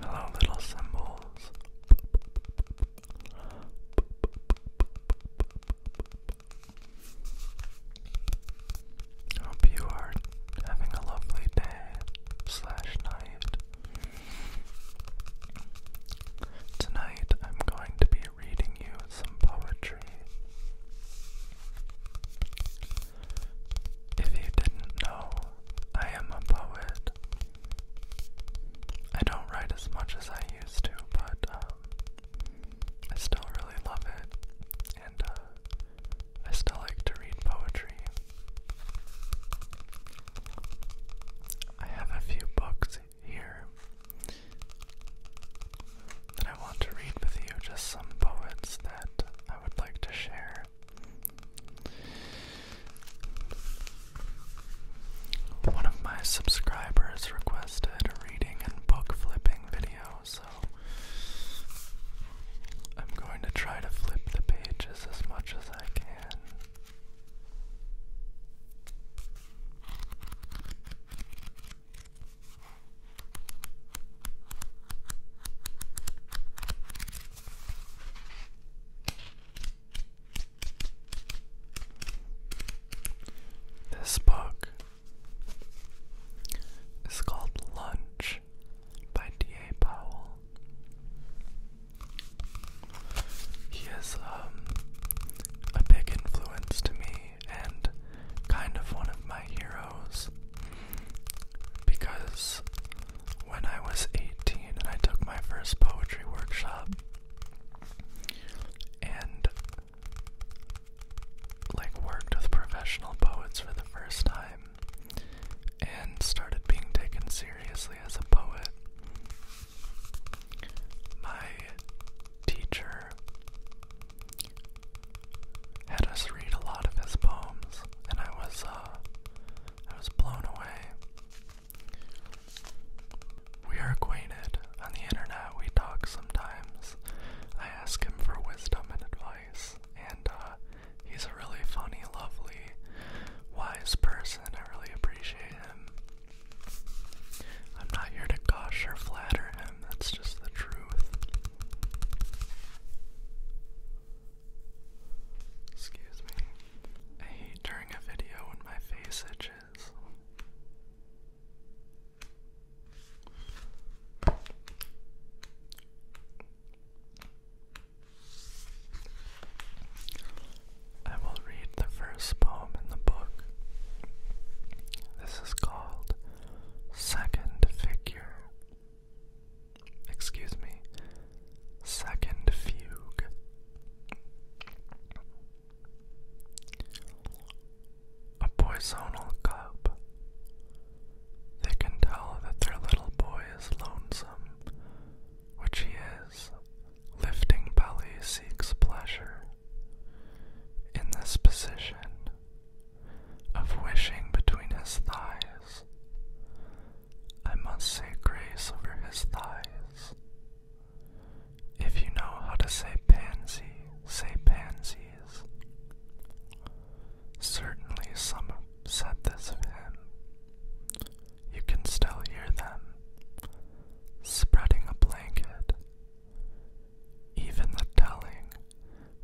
Hello, little symbols. Hope you are having a lovely day slash night. Tonight I'm going to be reading you some poetry. If you didn't know, I am a poet. I don't write as much as I used to, but um, I still really love it, and uh, I still like to read poetry. I have a few books here. That I want to read with you just some poets that I would like to share. One of my subscribers requested reading and book flipping video, so I'm going to try to flip the pages as much as I can. This book is called Lunch by D.A. Powell. He is um, a big influence to me and kind of one of my heroes because when I was 18 and I took my first poetry workshop and like worked with professional poets for the first time and started being taken seriously as a poet my teacher had us read a lot of his poems, and I was uh, I was blown away. We are acquainted on the internet. We talk sometimes. I ask him for wisdom and advice, and uh, he's a really funny, lovely, wise person. I really appreciate him. I'm not here to gush or flatter him, that's just the truth. Excuse me. I hate during a video when my face itches. I will read the first poem in the book. This is called Second Figure. Excuse me, Second Fugue. A poisonal cup. They can tell that their little boy is lonesome, which he is Lifting belly seeks pleasure in this position of wishing between his thighs. I must say grace over his thighs. If you know how to say pansy, say pansies. Certainly, some said this of him. You can still hear them spreading a blanket. Even the telling,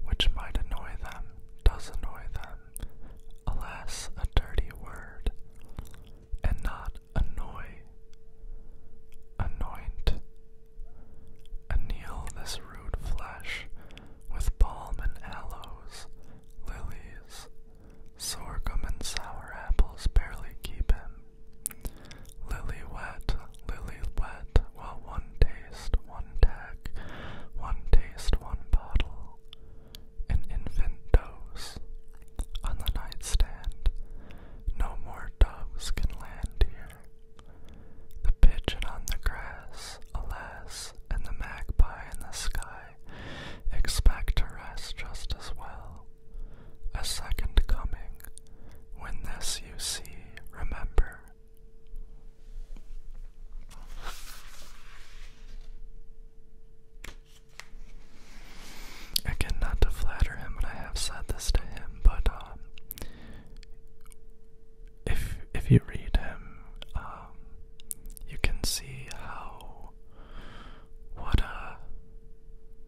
which might annoy them, does annoy them. Alas, a dirty word, and not annoy. Anoint. Anneal this rude flesh with balm and aloes, lilies. Sorghum and sour apples barely keep him. Lily wet, lily wet, While one taste, one tag, one taste, one bottle, an infant dose on the nightstand. No more doves can land here. The pigeon on the grass, alas, and the magpie in the sky expect to rest just as well a second coming, when this you see, remember. Again, not to flatter him, and I have said this to him, but um, if if you read him, um, you can see how what a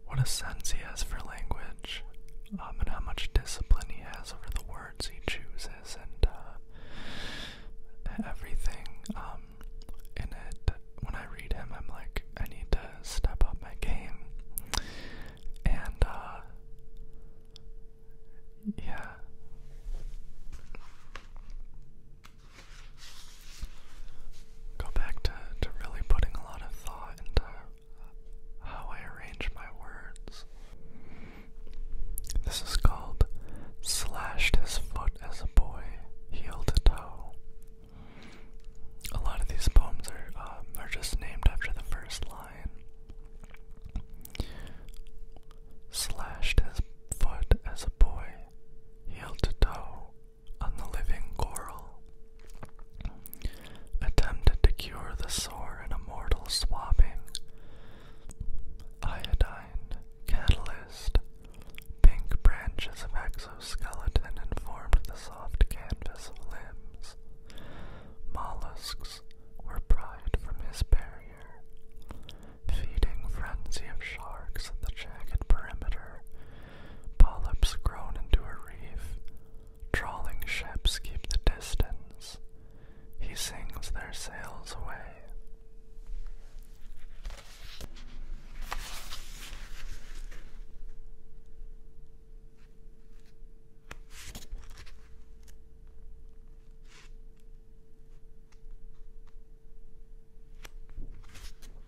what a sense he has for language, um, and how much discipline he has over the words he chooses and uh, everything um, in it. When I read him, I'm like, I need to step up my game, and uh, yeah go back to, to really putting a lot of thought into how I arrange my words. This is called Slashed His Foot as a Boy, Heel to Toe. A lot of these poems are, um, are just named after the first line. Slashed his foot as a boy, heel to toe on the living coral, attempted to cure the sore in a mortal swabbing. Iodine, catalyst, pink branches of exoskeleton informed the soft canvas limbs. Mollusks were pried from his barrier. Feeding frenzy of sharks at the jagged perimeter Polyps grown into a reef. Trawling ships keep the distance. He sings their sails away.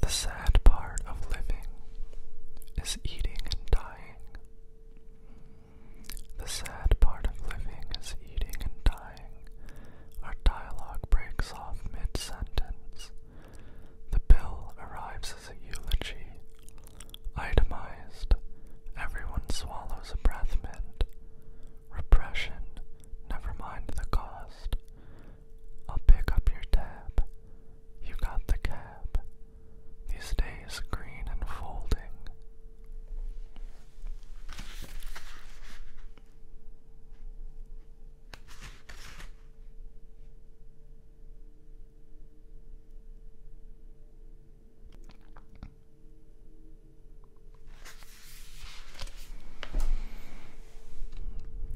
The sad part of living is eating and dying. The sad part of living is eating and dying. Our dialogue breaks off mid sentence. The bill arrives as a eulogy. Itemized. Everyone swallows a breath mint. Repression, never mind the cost. I'll pick up your tab. You got the cab. These days green and folding.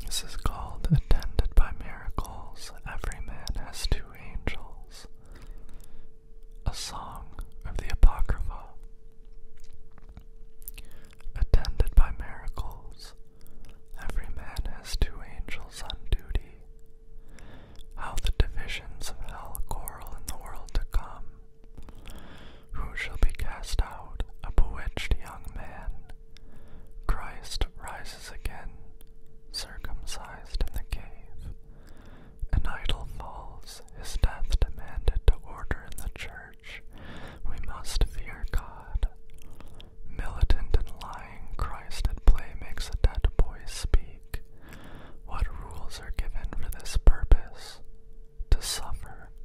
This is called Attended by Miracles. Every man has two angels. A song of the Apocrypha. Attended by miracles, every man has two angels on duty. How the divisions of hell quarrel in the world to come. Who shall be cast out? A bewitched young man Christ rises again, circumcised in the cave. An idol falls, his death demanded to order in the church. We must fear God. Militant and lying, Christ at play makes a dead boy speak. What rules are given for this purpose? To suffer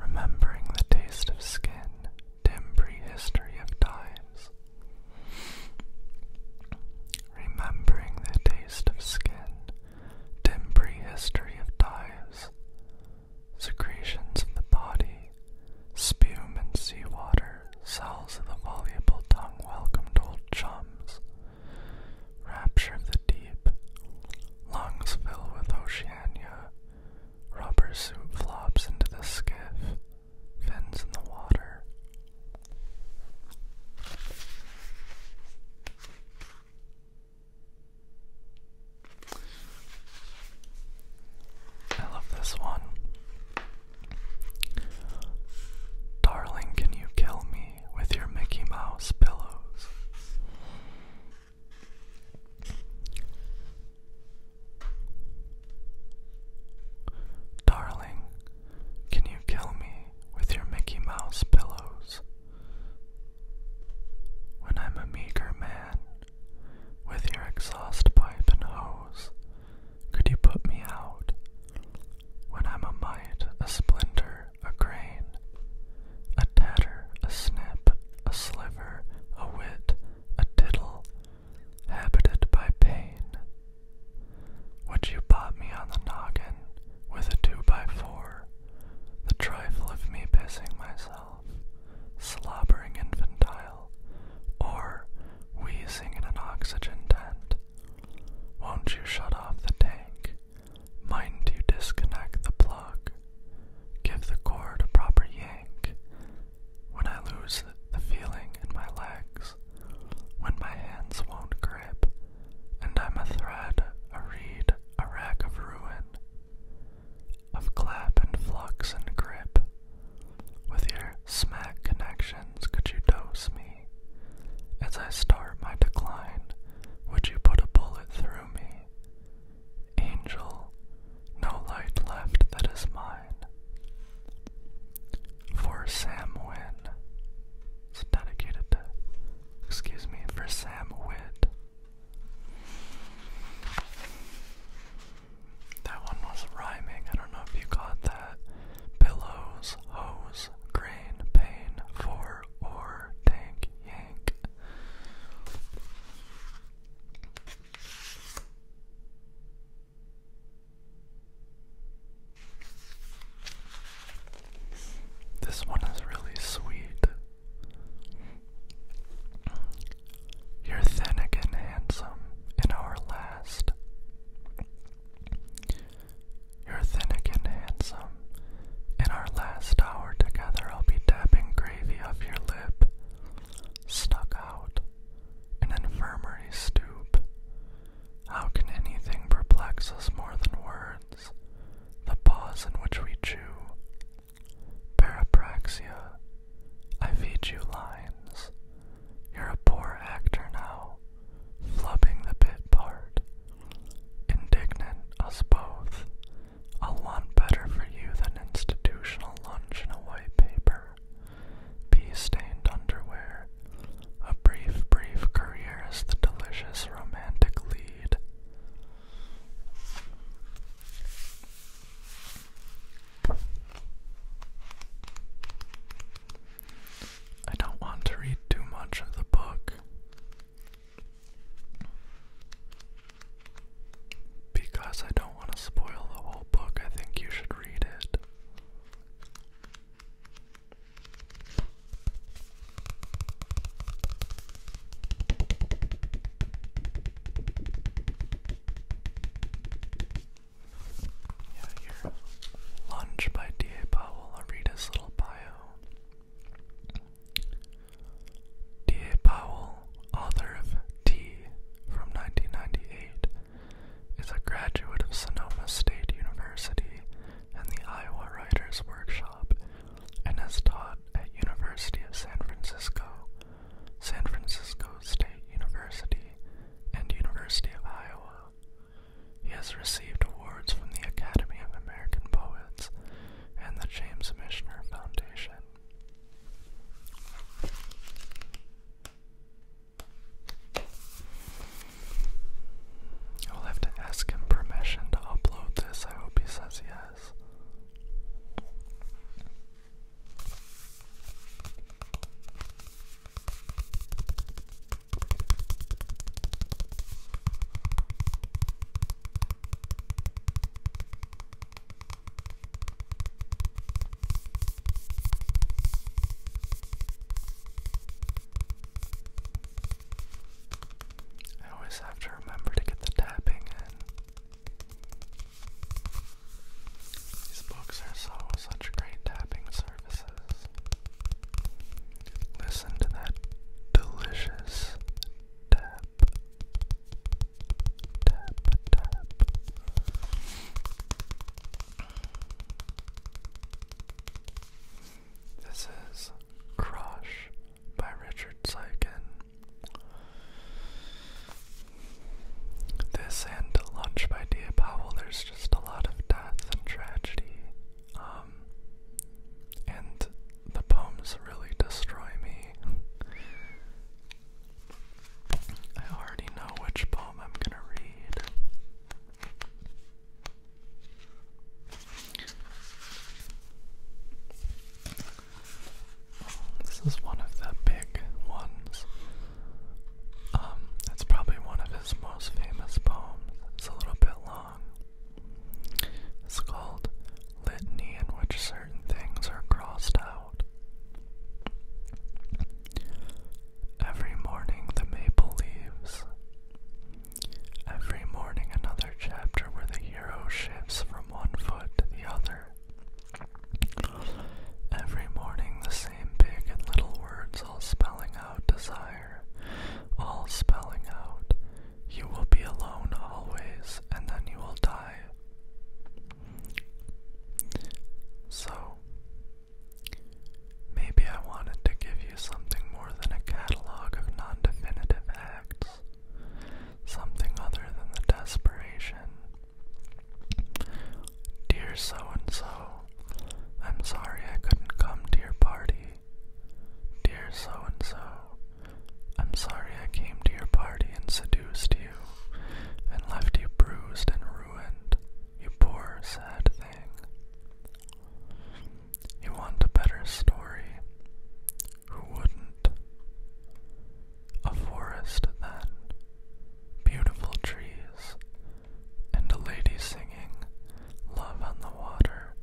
Remembering the taste of skin, dim prehistory of times. Remembering the taste of skin, dim prehistory of dives. Secretions of the body, spume and seawater, cells of the voluble tongue welcomed old chums. Rapture of the deep, lungs fill with Oceania, rubber suit flops into the skiff, fins in the water. I love this one. Darling, can you kill me? with your Mickey Mouse pillows. Darling, can you kill me with your Mickey Mouse pillows? When I'm a meager man, with your exhaust pipe and hose, could you put me out when I'm a mite, a splinter, a grain, a tatter, a snip, a sliver, a whit, a tittle, habited by pain. Would you pop me on the noggin with a two by four, the trifle of me pissing myself, slobbering infantile, or wheezing in an oxygen tent? Won't you shut off the tank? Mind you disconnect the plug? Give the cord a proper yank. When I lose the feeling in my legs, when my hands won't grip, and I'm a thread, a reed, a rack of ruin, of clap and flux and grip. With your smack connections, could you dose me? as I start my decline. Would you put a bullet through me? Angel, no light left that is mine. For Sam Wynn. It's dedicated to, excuse me, for Sam Witt. That one was rhyming. I don't know if you caught that. Pillows, hose, Pause, pain, for, or, tank, yank. This one is really sweet. You're thin again, handsome, in our last. You're thin and handsome. In our last hour together, I'll be dabbing gravy off your lip. Stuck out. An infirmary stoop. How can anything perplex us more than words? The pause in which we chew. Parapraxia. I feed you lines. You're a poor actor now flubbing the bit part. Indignant us both. A lot better for you than institutional lunch in a white paper, pea-stained underwear, a brief, brief career as the delicious romantic lead. I don't want to read too much of the book because I don't want to spoil the whole book. I think you should read it. Yeah, Lunge by D.A. Powell. I'll read his little bio. D.A. Powell, author of T from 1998, is a graduate of Sonoma State University and the Iowa Writers Workshop and has taught at University of San Francisco, San Francisco State University, and University of Iowa. He has received awards from the Academy of American Poets and the James Michener Foundation. I'll have to ask him permission to upload this. I hope he says yes. I always have to remember to get the tapping in. These books are so such great tapping services. Listen to that delicious tap, tap, tap. This is Crush by Richard Sykin. This and Lunch by Dia there's just a lot of death and tragedy um, and the poems really destroy me. I already know which poem I'm gonna read. This is one of the big ones. Um, it's probably one of his most famous poem is a little bit long. It's called Litany, in which certain things are crossed out. Every morning the maple leaves. Every morning another chapter where the hero shifts from one foot to the other. Every morning the same big and little words all spelling out desire all spelling out, You will be alone always, and then you will die. So, maybe I wanted to give you something more than a catalog of non definitive acts, something other than the desperation. Dear so and so, I'm sorry I couldn't come to your party. Dear so and so, I'm sorry I came to your party and seduced you and left you bruised and ruined, you poor sad thing. You want a better story? Who wouldn't? A forest, then. Beautiful trees, and a lady singing, Love on the water,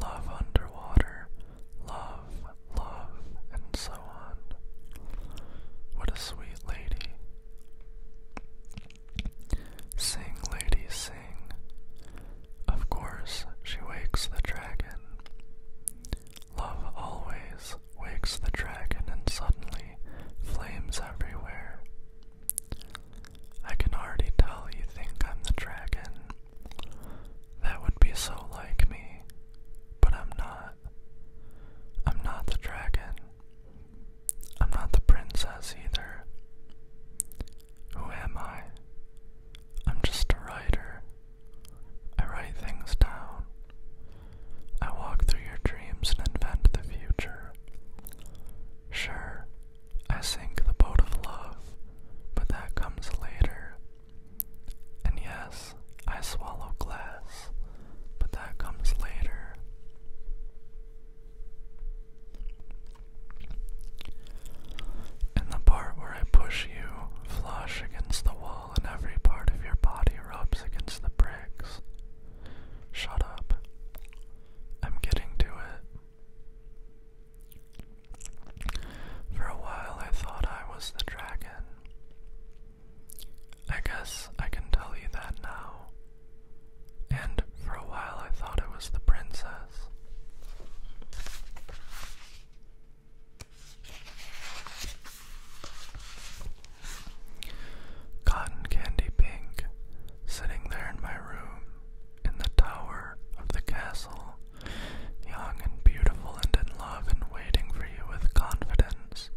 love underwater, love, love, and so on. What a sweet lady. Sing, lady, sing. Of course, she wakes the dragon. Love always wakes the dragon, and suddenly flames everywhere. I can already tell you think I'm the dragon. That would be so like me, but I'm not. I'm not the dragon. I'm not the princess either. Who am I? I'm just a writer. I write things down. I walk through your dreams and invent the future. Sure, I sink the boat of love, but that comes later. And yes, I swallow glass, but that comes later. In the part where I push you flush against the wall and every part of your body rubs against the bricks. Shut up. I'm getting to it. For a while, I thought I was the dragon. I guess I can tell you that now. And for a while, I thought it was the princess. Cotton Candy Pink sitting there in my room, in the tower of the castle, young and beautiful and in love and waiting for you with confidence.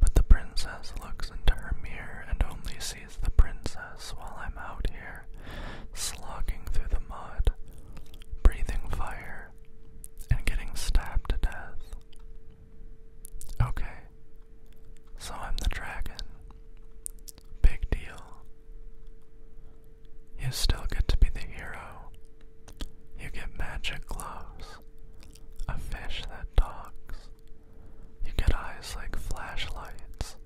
But the princess looks into her mirror and only sees the princess while I'm out here, slugging through the mud, breathing fire, and getting stabbed to death. Okay, so I'm the dragon. Big deal. You still get to be the hero. You get magic gloves, a fish that talks. You get eyes like flashlights.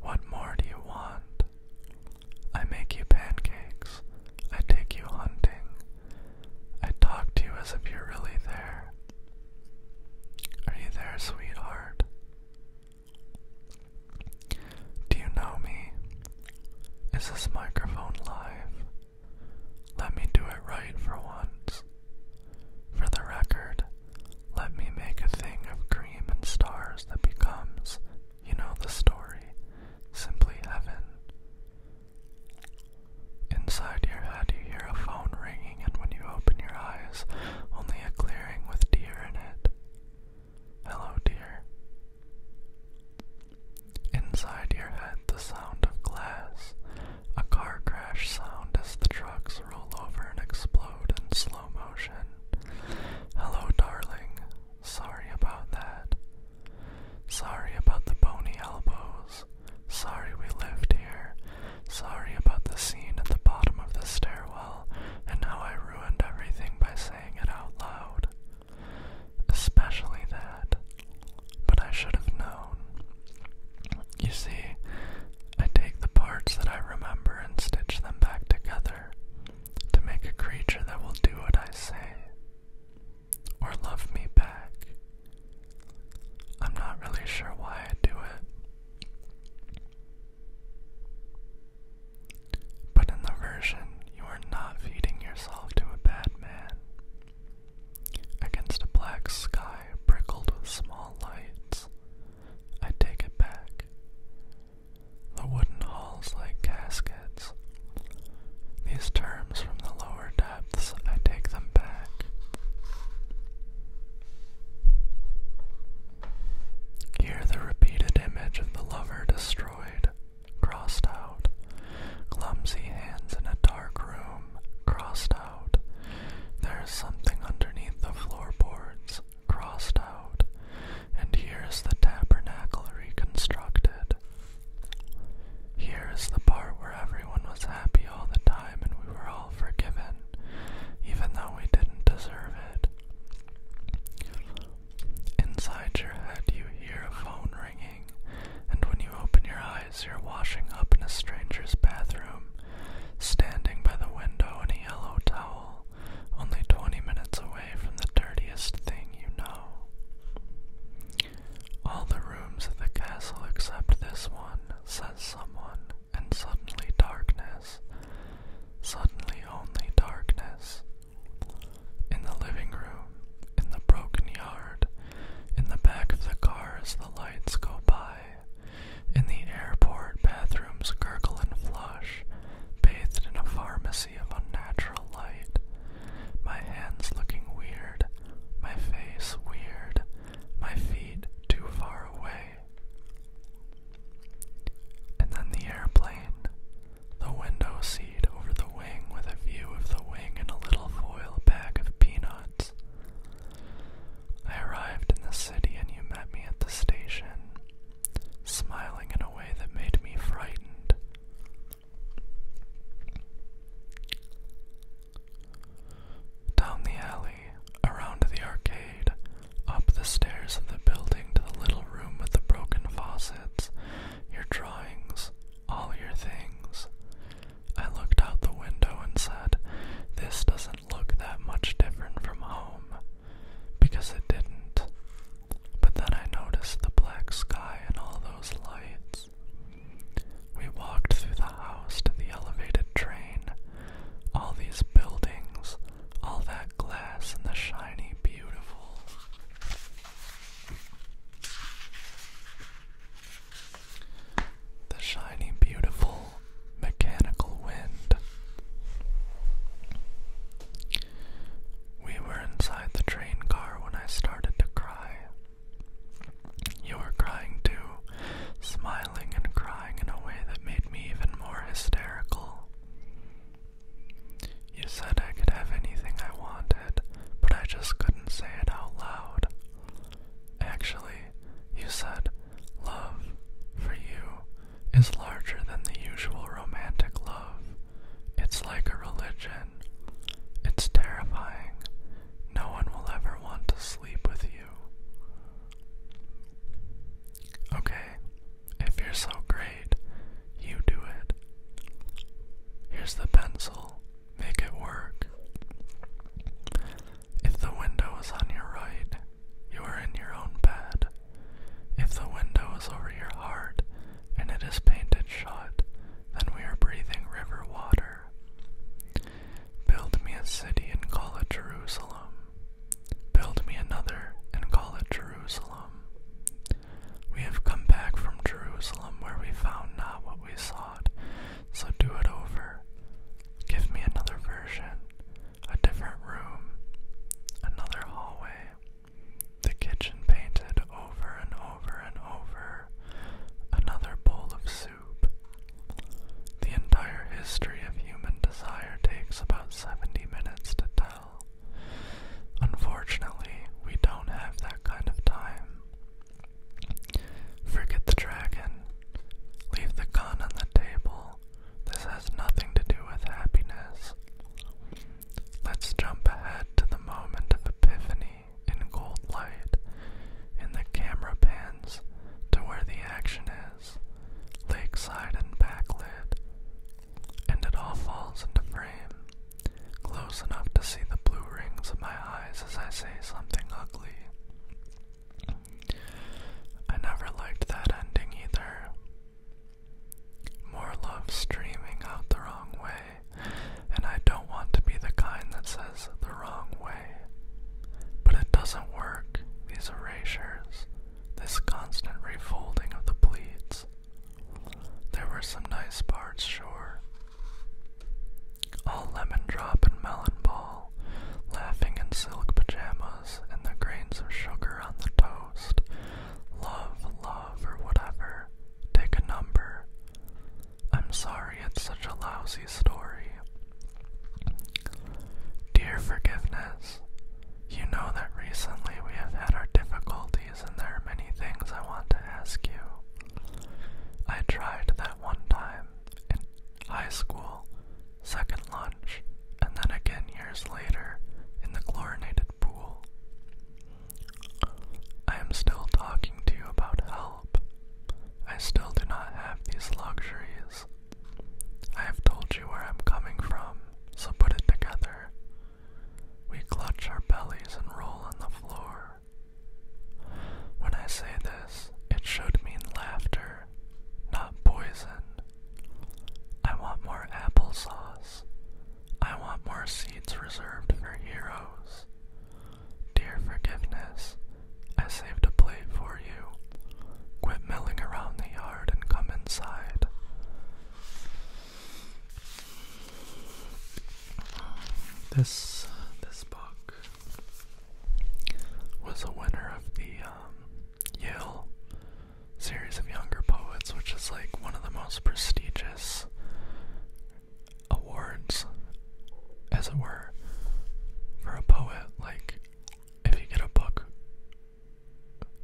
What more do you want? I make you pancakes. I take you hunting. I talk to you as if you're really there. Are you there, sweetheart? Do you know me? Is this microphone live? Let me do it right for once. For the record, let me make a thing of cream and stars that becomes, you know the story, simply heaven. Inside your forehead, you hear a phone ringing, and when you open your eyes, only a clearing with deer in it. Hello, dear. Inside your head, the sound of glass, a car crash sound as the trucks roll over and explode in slow motion. Hello, darling. Sorry about that. Sorry about the bony elbows. Sorry we lived here. Sorry about the scene at the bottom of the stairwell and how I ruined everything by saying it out loud. Especially that. But I should have known. You see, I take the parts that I remember and stitch them back together to make a creature that will do what I say or love me back. I'm not really sure why I do it, but in the version, you are not feeding yourself to a bad man. Against a black sky prickled with small lights, I take it back. The wooden halls like caskets. These terms from the lower depths, I take them back. Here, the repeated image of the lover destroyed, crossed out, clumsy hands in a dark room, crossed out. There is something underneath the floorboards, crossed out, and here is the tabernacle reconstructed. Here is the part where everyone was happy all the time and we were all forgiven, even though we didn't deserve it. Inside your head, you hear a phone ringing, and when you open your eyes, you're washing up in a stranger's bathroom, standing by the window in a yellow towel, only 20 minutes away from the dirtiest thing you know. All the rooms of the castle except this one, says someone and suddenly darkness, suddenly only darkness. In the living room, in the broken yard, in the back of the car as the lights go by, in the airport bathrooms gurgle and flush, bathed in a pharmacy of unnatural light, my hands looking weird, my face weird, my feet too far away. And then the airplane, the window seat over the wing with a view of the wing and a little foil bag of peanuts. I arrived in the city and you met me at the station, smiling in a way that made me frightened. Down the alley, around the arcade, up the stairs of the building to the little room with the broken faucets, your drawings, all your things. I looked out the window and said, This doesn't look that much different from home, because it didn't. But then I noticed the black sky and all those lights. We walked through the house to the elevated train, all these buildings, all that glass, and the shiny, beautiful. The shiny, beautiful mechanical wind. We were inside the train car when I started to cry. You were crying too, smiling and crying in a way that made me even more hysterical. You said I could have anything I wanted, but I just couldn't say it out loud. Actually, you said, Love, for you, is larger than the usual romantic love. It's like a religion. It's terrifying. No one will ever want to sleep with you. Okay, if you're so great, you do it. Here's the pencil, make it work. If the window is on your right, you are in your own bed. If the window is over your heart and it is painted shut, then we are breathing river water. Build me a city and call it Jerusalem. Build me another and call it Jerusalem. We have come back from Jerusalem where we found not what we sought, so do it over. Give me another version, a different room, another hallway, the kitchen painted over and over and over, another bowl of soup. The entire history of human desire takes about 70 minutes to tell. Unfortunately, we don't have that kind of time. Forget the dragon. Leave the gun on the table. This has nothing to do with happiness. Let's jump ahead to the moment of epiphany in gold light, and the camera pans to where the action is lakeside and backlit, and it all falls into frame, close enough to see the blue rings of my eyes as I say something ugly. I never liked that ending either. More love streaming out the wrong way, and I don't want to be the kind that says the wrong way but it doesn't work, these erasures, this constant refolding of the pleats. There were some nice parts, sure. All lemon drop and melon ball, laughing in silk pajamas and the grains of sugar on the toast. Love, love, or whatever. Take a number. I'm sorry it's such a lousy Dear Forgiveness, you know that recently we have had our difficulties and there are many things I want to ask you. I tried that one time in high school, second lunch, and then again years later in the chlorinated pool. I am still talking to you about help. I still do not have these luxuries I have told you where I'm coming from, so put it together. We clutch our bellies and roll on the floor. When I say this, it should mean laughter, not poison. I want more applesauce. I want more seeds reserved for heroes. Dear forgiveness, I saved a plate for you. Quit milling around the yard and come inside. This this book was a winner of the um, Yale series of younger poets, which is like one of the most prestigious awards, as it were, for a poet. Like if you get a book,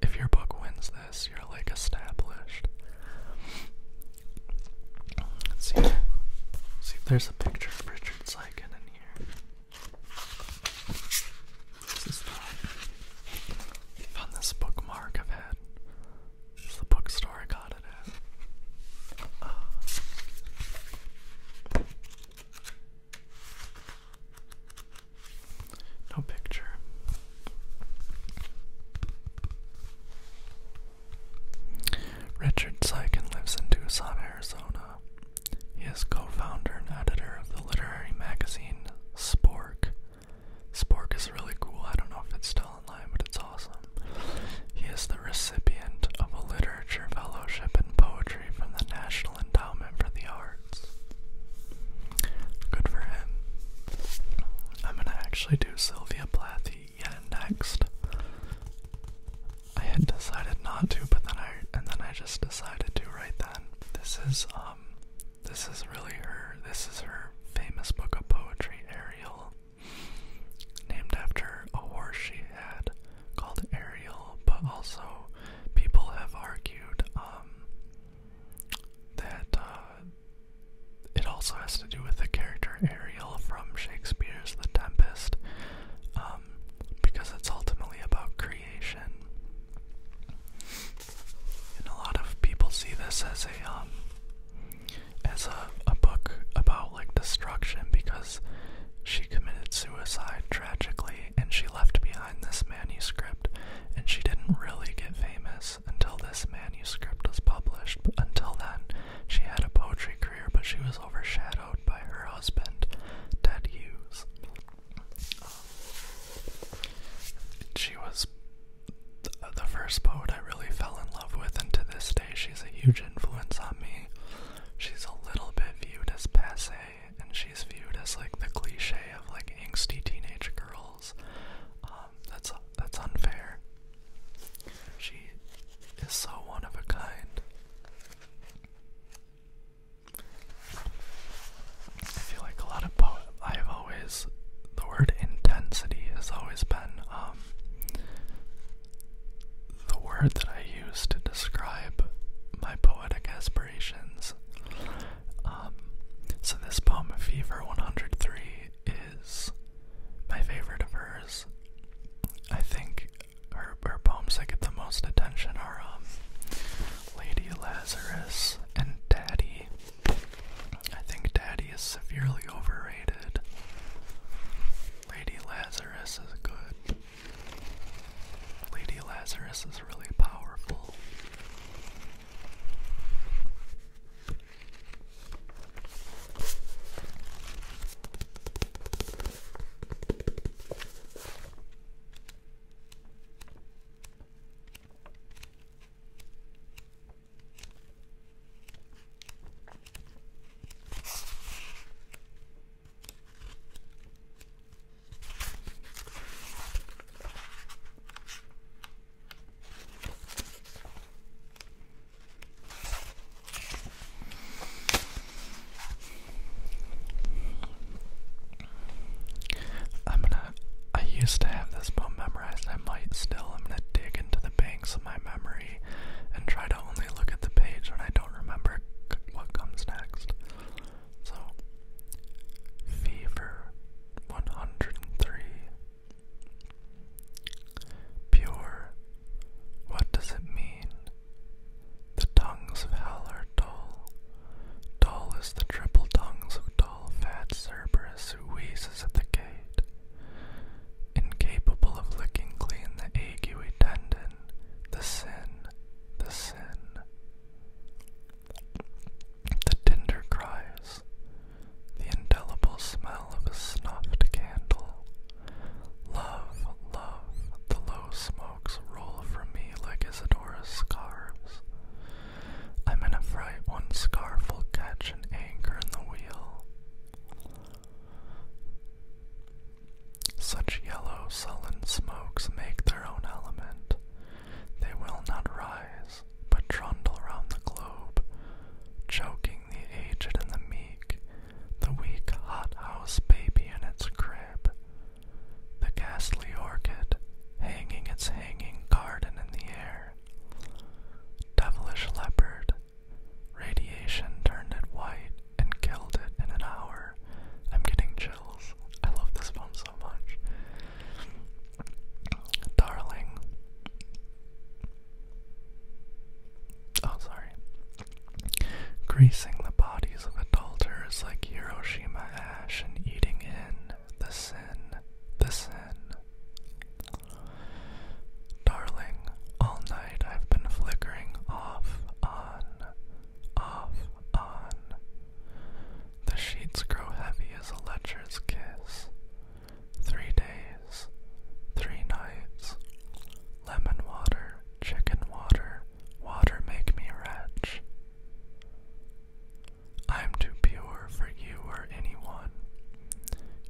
if your book wins this, you're like established. Let's see. see there's a picture of Richard Sykin in here. This is the, found this bookmark I've had. the bookstore I got it at. No picture. Richard Sykin lives in Tucson, Arizona. He is co founder and editor of the literary magazine Spork. Spork is really cool. I don't know if it's still online, but it's awesome. He is the recipient of a literature fellowship in poetry from the National. Endowment for the Arts. Good for him. I'm gonna actually do Sylvia Plath next. I had decided not to, but then I and then I just decided to right then. This is um this is really her this is her famous book of poetry, Ariel. Named after a horse she had called Ariel, but also people have argued um, that uh, it also has to do with the character Ariel from Shakespeare's *The Tempest*, um, because it's ultimately about creation. And a lot of people see this as a um, as a book about like destruction because she committed suicide tragically, and she left behind this manuscript, and she didn't really get famous until this manuscript was published. But until then, she had a poetry career, but she was overshadowed by her husband, Ted Hughes. Um, she was the first poet I really fell in love with, and to this day, she's a huge influence on me. She's a little bit viewed as passe and she's viewed as like the cliche of like angsty teenage girls. Um, that's that's unfair. She is so one of a kind. I feel like a lot of I've always the word intensity has always been um the word that I use to describe my poetic aspirations. Um, so, this poem, Fever 103, is my favorite of hers. I think her, her poems that get the most attention are um, Lady Lazarus and Daddy. I think Daddy is severely overrated. Lady Lazarus is good. Lady Lazarus is really powerful. I'm gonna. I used to have this poem memorized. I might still. I'm gonna dig into the banks of my memory and try to only look at the page when I don't remember what comes next. So, Fever 103. Pure, what does it mean? The tongues of hell are dull. Dull is the triple tongues of dull, fat Cerberus who wheezes at the gate. Incapable of licking clean the ague tendon, the sin, the sin, the tender cries, the indelible smell of a snuffed candle. Love, love, the low smokes roll from me like Isadora's scarves. I'm in a fright, one scarf will catch an anchor in the wheel. Such yellow, sullen smokes make their own element. They will not rise, but trundle round the globe, choking the aged and the meek, the weak hothouse baby in its crib, the ghastly orchid hanging its hanging garden in the air, devilish leopard, radiation turned it white, and killed it in an hour. I'm getting chills. I love this poem so much. Darling. Oh, sorry. Greasing the bodies of adulterers like Hiroshima ash and eating in the sin, the sin. Darling, all night I've been flickering off on off, on. The sheets grow heavy as a lecher's kiss. Three days, three nights. Lemon water, chicken water, water make me wretch. I am too pure for you or anyone.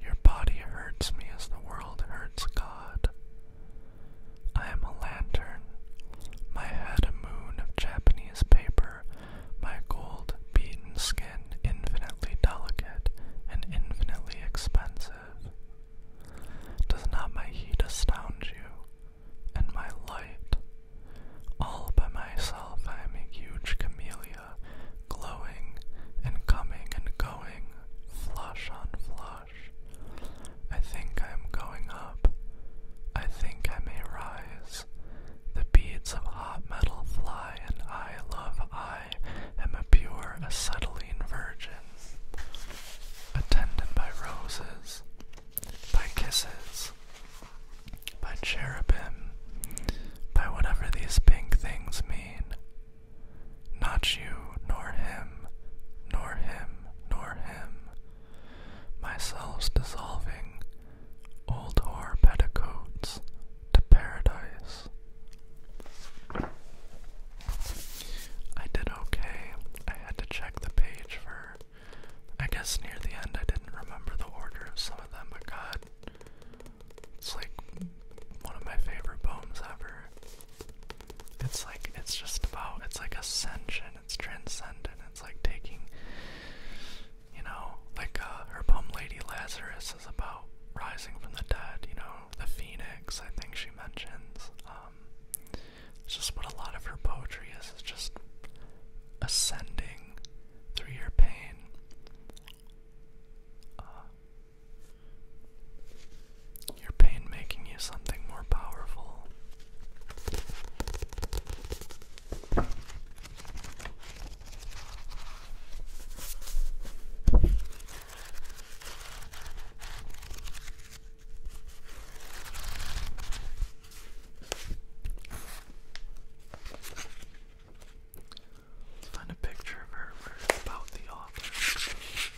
Your body hurts me as the world hurts God. I am a lantern, my head a moon of Japanese paper, my gold beaten skin infinitely delicate and infinitely expensive. Does not my heat astound you, and my light? All by myself I am a huge camellia, glowing and coming and going, flush on flush. I think I am going up. I think I may rise. The beads of hot metal fly, and I, love, I am a pure acetylene virgin. Attended by roses, by kisses, by cherubim, by whatever these pink things mean. Not you, nor him, nor him, nor him, myself's dissolving, old hoar petticoats to paradise. I did okay. I had to check the page for. I guess near the end I didn't remember the order of some of them, but god. It's like one of my favorite poems ever. It's like it's just about it's like ascension, it's transcendent, it's like taking you know, like uh, her poem Lady Lazarus is about rising from the dead, you know, the phoenix, I think she mentions. Um, it's just what a lot of her poetry is, is just ascending through your pain. Uh, your pain making you something more powerful. find a picture of her about the author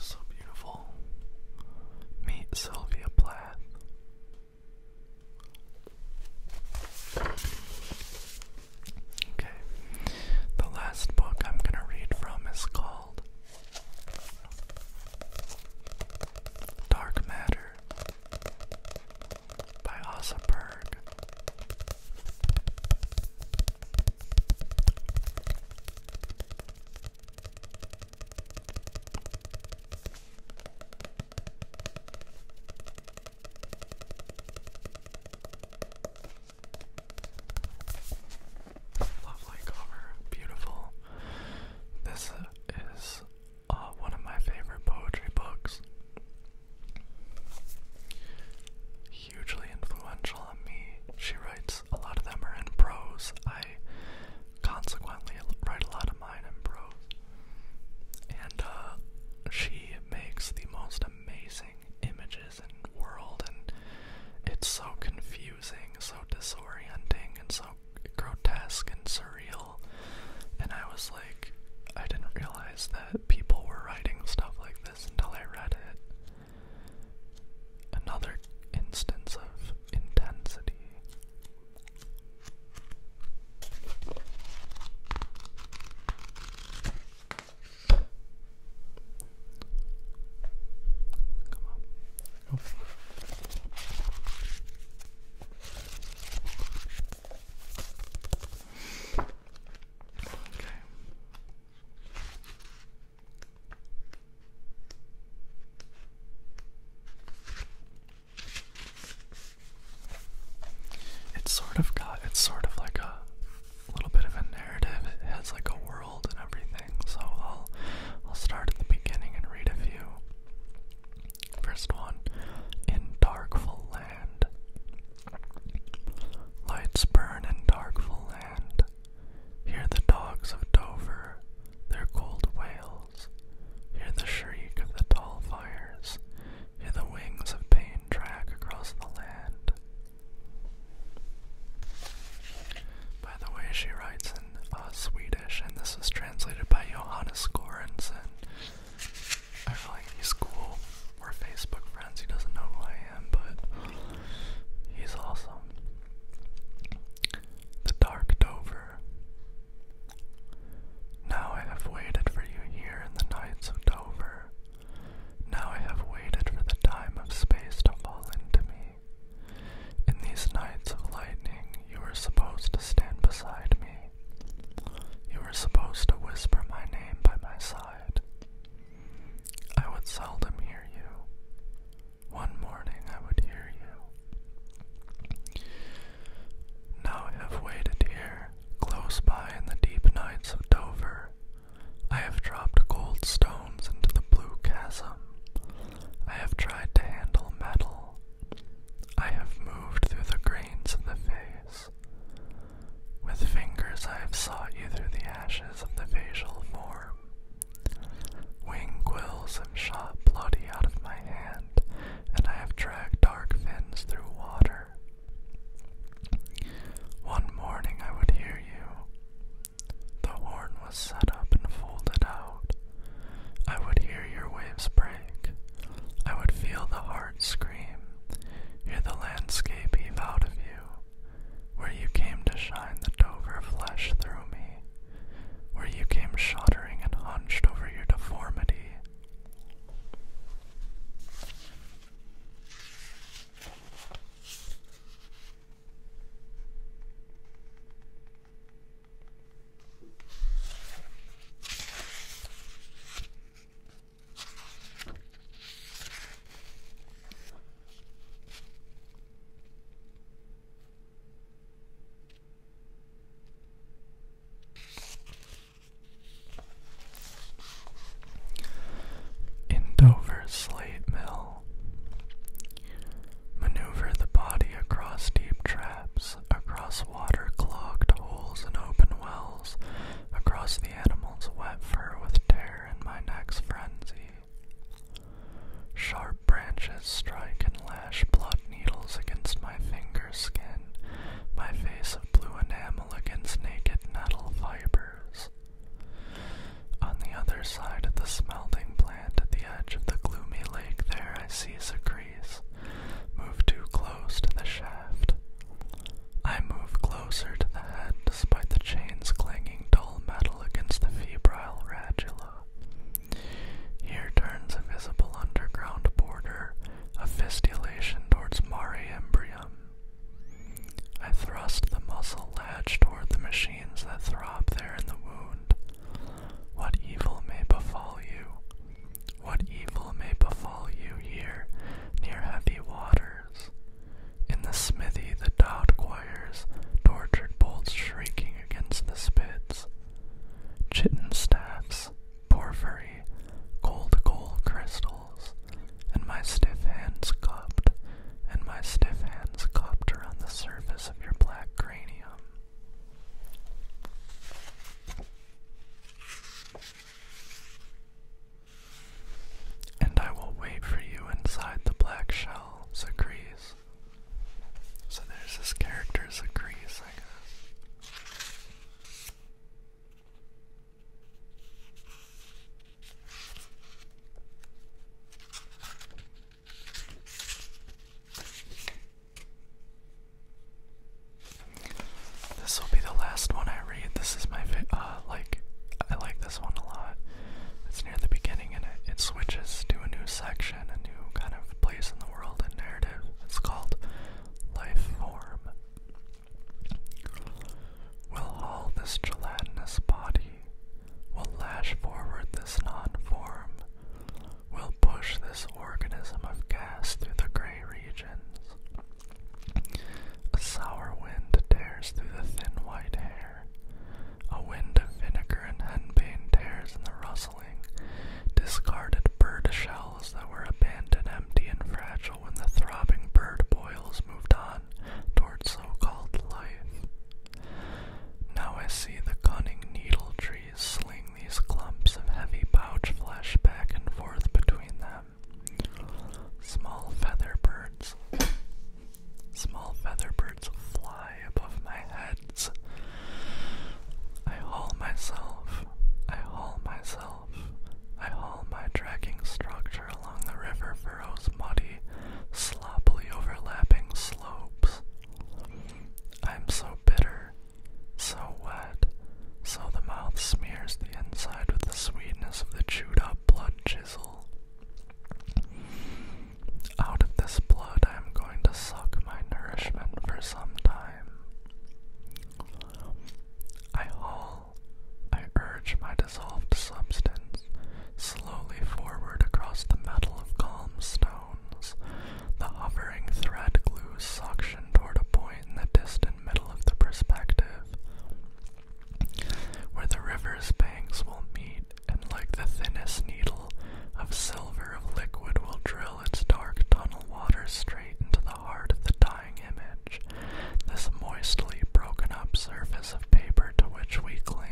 so beautiful. Meet Sylvia Plath. Okay. The last book I'm going to read from is called Dark Matter by Asa Berg. Lovely cover, beautiful. This uh, is uh, one of my favorite poetry books hugely influential on me. She writes, a lot of them are in prose. I consequently write a lot of mine in prose. And uh, she makes the most amazing images and world, and it's so confusing, so disorienting, and so grotesque and surreal. And I was like, I didn't realize that people were writing stuff like this until I read it. Another instance of intensity. Come on. Okay. It's sort of got it's sort of like a little bit of a narrative. It has like a world and everything. So I'll I'll start at the beginning and read a few. First one, in Darkful Land. Lights burn in Darkful Land. Hear the dogs of Dover, their cold wails. Hear the shriek of the tall fires. Hear the wings of pain drag across the land. By the way, she writes in uh, Swedish, and this is translated by Johannes Goranson. I feel like he's cool. We're Facebook friends. He doesn't know who I but he's awesome. The Dark Dover. Now I have waited for you here in the nights of Dover. Now I have waited for the time of space to fall into me. In these nights of lightning, you were supposed to stand beside me. You were supposed to whisper my name by my side. I would seldom hear you. One morning I would hear you. Now I have waited here, close by in the deep nights of Dover. I have dropped gold stones into the blue chasm. I have tried to handle metal. I have moved through the grains of the face. With fingers I have sought you through the ashes of the facial form. Wing quills have shot bloody out of my hand, and I have dragged dark fins through water. One morning I would hear you. The horn was set up and folded out. I would hear your waves break. I would feel the heart scream, hear the landscape heave out of you where you came to shine the Dover flesh through me, where you came shuddering and hunched over your deformity. In Dover's Slate Mill, maneuver the body across deep traps, across water clogged holes and open wells, across the animal's wet fur with terror in my next frenzy. Sharp branches strike and lash blood needles against my finger skin, my face of blue enamel against naked nettle fibers. On the other side of the smelting plant at the edge of the gloomy lake there I see a move too close to the shaft. I move closer to the head despite the chains clanging dull metal against the febrile radula. Here turns a visible underground border a fistulation towards mare imbrium. I thrust the muscle latch toward the machines that throb there in the wound. What evil may befall you? What evil may befall you here near heavy waters? In the smithy the dowd quires, tortured bolts shrieking against the spits. Chitin staffs, porphyry, cold gold crystals, and my stiff hands cupped, and my stiff hands cupped around the surface of your black cranium. And I will wait for you inside the black shell, Zagrees. So there's this character's Zagrees, I guess. This will be the last one I read. This is my like I like this one a lot. It's near the beginning and it, it switches to a new section, a new kind of place in the world and narrative. It's called Life Form. Will all this gelatinous body will lash forward this non-form, will push this organism of gas through the gray regions. A sour wind tears through the thin white hair. A wind of vinegar and henbane tears in the rustling, discarded bird shells that were abandoned empty and fragile when the throbbing bird boils moved on toward so-called life. Now I see the cunning needle trees sling these clumps of heavy pouch flesh back and forth between them. Small feather birds. Small feather birds fly above my heads. I haul myself. I haul myself. I haul my dragging structure along the river furrows muddy, sloppily overlapping slopes. I'm so bitter, so wet, so the mouth smears the inside with the sweetness of the chewed up blood chisel. Out of this blood I am going to suck my nourishment for some time. I haul, I urge my dissolved substance slowly forward across the metal of calm stones. The hovering thread glues suction toward a point in the distant middle of the perspective where the river's banks will meet, and like the thinnest needle of silver of liquid will drill its dark tunnel water straight into the heart of the dying image, this moistly broken up surface of paper to which we cling.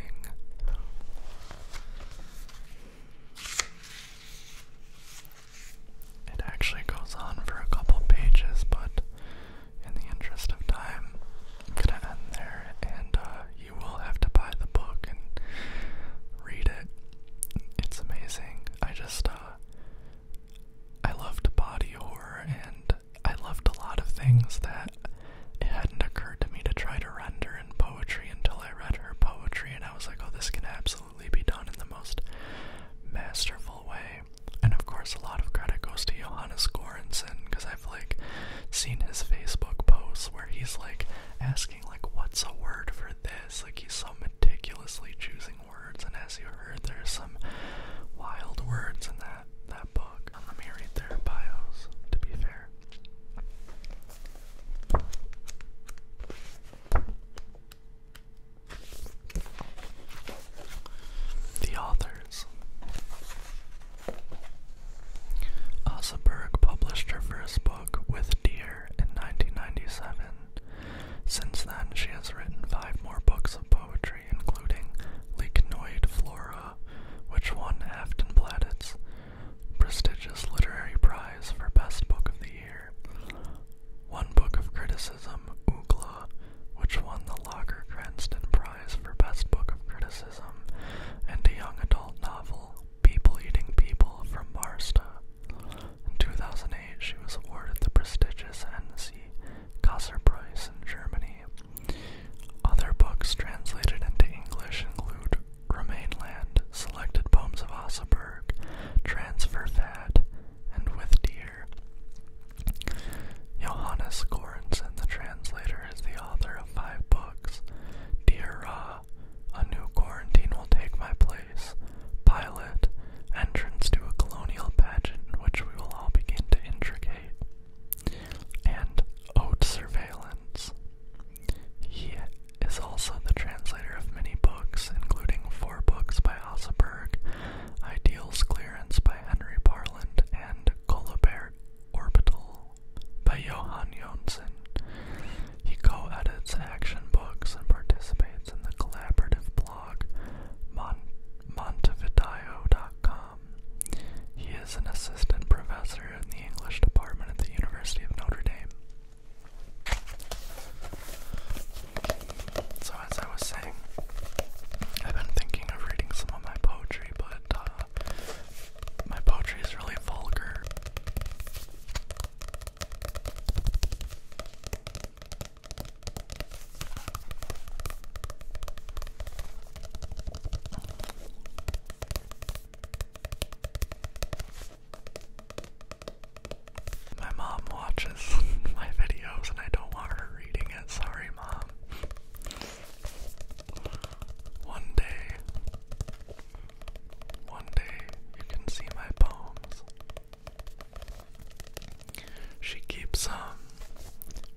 It actually goes on for a couple pages, but in the interest of time, I'm gonna end there, and uh, you will have to buy the book and read it. It's amazing. I just, uh, I loved body horror, and I loved a lot of things that it hadn't occurred to me to try to render in poetry until I read her poetry, and I was like, oh, this can absolutely be done in the most masterful way and of course, a lot of credit goes to Johannes Goranson because I've like seen his Facebook posts where he's like asking like, "What's a word for this?" Like he's so meticulously choosing words, and as you heard, there's some wild words in that that book. Let me read their bios. To be fair. The authors. Oseberg published her first book with Deer in 1997. Since then, she has written five more books of poetry, including Lichenoid Flora, which won Afton Platt's prestigious literary prize for Best Book of the Year. One book of criticism, which won the Lager Cranston Prize for Best Book of Criticism, and a young adult novel, People Eating People, from Marsta. In 2008, she was awarded the prestigious NC Kasser Prize in Germany. Other books translated into English include Remainland, Selected Poems of Osseberg, Transfer Fat*, and With Deer later. Johannes Gorenson, the translator, is the author of five books. Dear A New Quarantine Will Take My Place, Pilot, Entrance to a Colonial Pageant Which We Will All Begin to Intricate, and *Oat Surveillance. He is also the translator of many books, including four books by Osseberg, Ideals Clearance by Henry Parland and Colibert Orbital by Johan Jonsson. He co-edits action books and participates in the collaborative blog Mon montevideo.com. He is an assistant professor in the English department at the University of Notre Dame. So as I was saying, I've been thinking of reading some of my poetry but uh, my poetry is really vulgar. My mom watches my videos and I don't want her reading it. Sorry, mom. One day, one day you can see my poems. She keeps them. Um,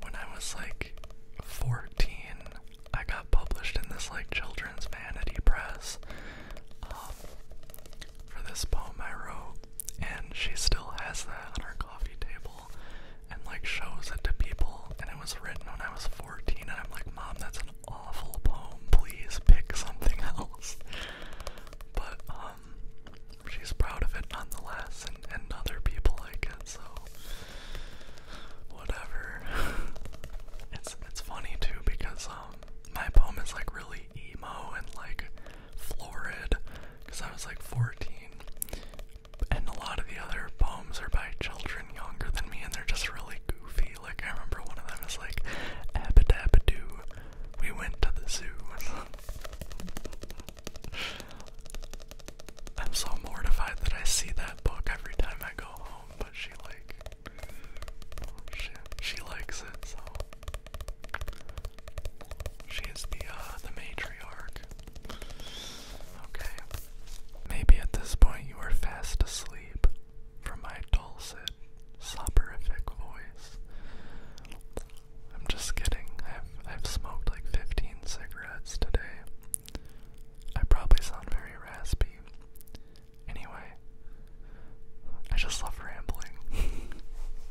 when I was like 14, I got published in this like children's vanity press um, for this poem I wrote, and she still has that on her coffee table and like shows it to people and it was written when I was 14 and I'm like, Mom, that's an awful poem. Please pick something else. But um she's proud of it nonetheless and, and other people like it, so whatever. it's it's funny too because um my poem is like really emo and like florid because I was like 14 and a lot of the other poems are by children younger than me, and they're just really goofy. Like I remember one of them is like, "Abba we went to the zoo." I'm so mortified that I see that book every time I go home, but she like, she she likes it so. She is the uh, the matriarch. Okay. Maybe at this point you are fast asleep from my dulcet, soporific voice. I'm just kidding. I've I've smoked like 15 cigarettes today. I probably sound very raspy. Anyway, I just love rambling.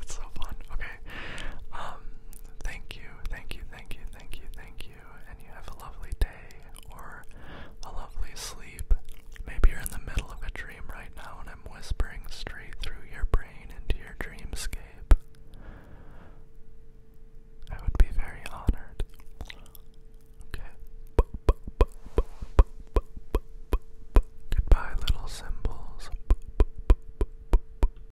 it's so fun. Okay. Um thank you. Thank you. Thank you thank you, thank you, and you have a lovely day or a lovely sleep. Maybe you're in the middle of a dream right now and I'm whispering straight through your brain into your dreamscape. I would be very honored. Okay. Goodbye, little symbols.